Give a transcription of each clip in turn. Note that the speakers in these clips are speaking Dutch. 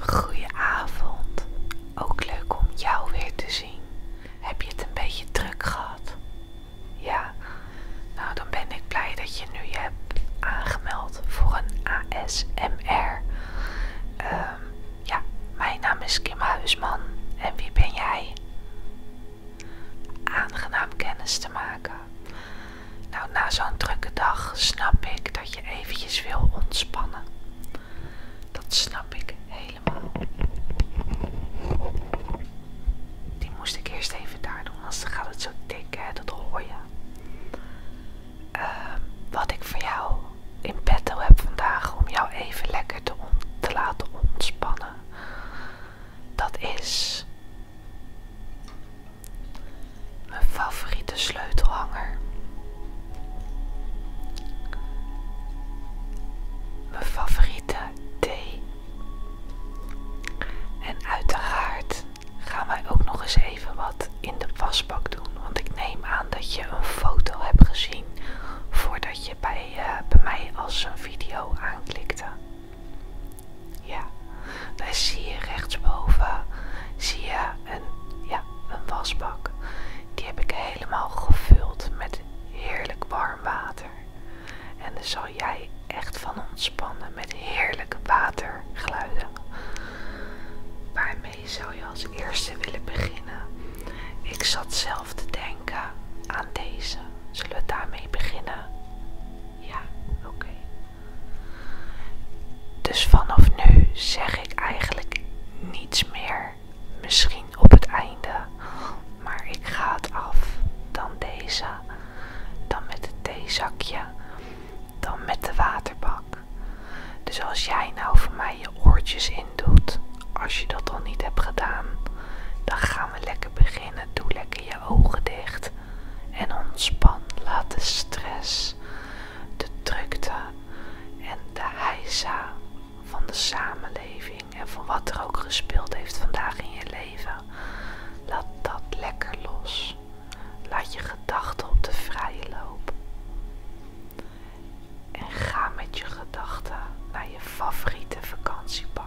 Goedenavond, ook leuk om jou weer te zien. Heb je het een beetje druk gehad? Ja, nou dan ben ik blij dat je nu je hebt aangemeld voor een ASMR. Ehm, ja, mijn naam is Kim Huisman en wie ben jij? Aangenaam kennis te maken. Nou, na zo'n drukke dag snap ik dat je eventjes wil ontspannen. Dat snap ik helemaal. Die moest ik eerst even daar doen, anders gaat het zo dik, hè? dat hoor je. Ehm, wat ik voor jou in petto heb vandaag om jou even lekker te, te laten ontspannen. Dat is mijn favoriete sleutelhanger. Mijn favoriete thee. En uiteraard gaan wij ook nog eens even wat in de wasbak doen. Want ik neem aan dat je een foto hebt gezien voordat je bij, eh, bij mij als een video aanklikte. Ja, daar zie je rechtsboven zie je een, ja, een wasbak. Die heb ik helemaal gevuld met heerlijk warm water. En daar zal jij echt van ontspannen met heerlijke watergeluiden. Waarmee zou je als eerste willen beginnen? Ik zat zelf te denken aan deze. Zullen we daarmee beginnen? Ja, oké. Dus vanaf nu zeg ik eigenlijk niets meer. Misschien op het einde. Maar ik ga het af. Dan deze. Dan met het theezakje. Dan met de waterbak. Dus als jij nou voor mij oortjes in doet. Als je dat al niet hebt gedaan, dan gaan we lekker beginnen. Doe lekker je ogen dicht en ontspan. Laat de stress, de drukte en de heisa van de samenleving en van wat er ook gespeeld heeft vandaag in je leven, laat dat lekker los. Laat je gedachten op de vrije loop en ga met je gedachten naar je favoriete vakantiepark.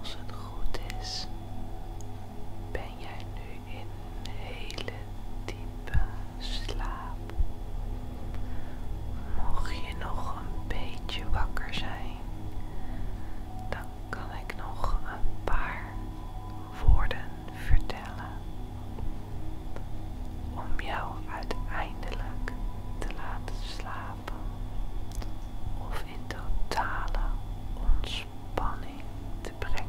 Als het goed is, ben jij nu in een hele diepe slaap. Mocht je nog een beetje wakker zijn, dan kan ik nog een paar woorden vertellen om jou uiteindelijk te laten slapen of in totale ontspanning te brengen.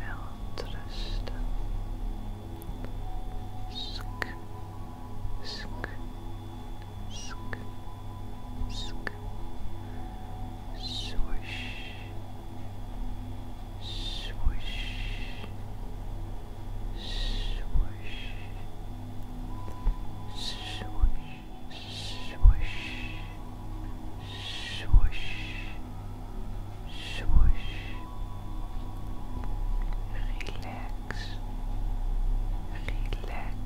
uitrusten. Sk, sk, sk, sk. Swoosh, swoosh, swoosh, swoosh, Swish, swish, swish. Relax, relax, relax,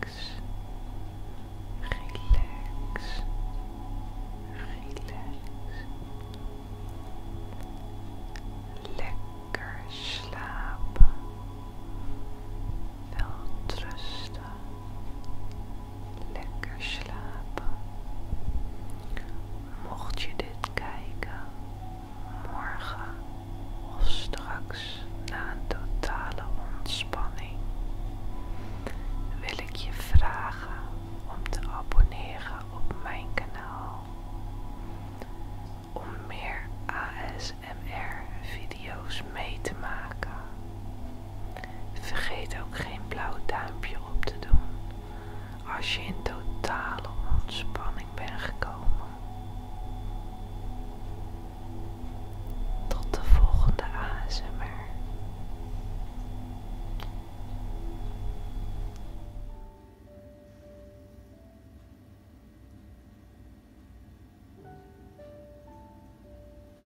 relax. Lekker slapen, wel trusten. lekker slapen. Mocht je dit kijken, morgen of straks na een totale ontspanning, wil ik je vragen om te abonneren op mijn kanaal. Om meer ASMR video's mee te maken. Vergeet ook geen blauw duimpje op te doen als je in totale ontspanning bent gekomen. Tot de volgende ASMR.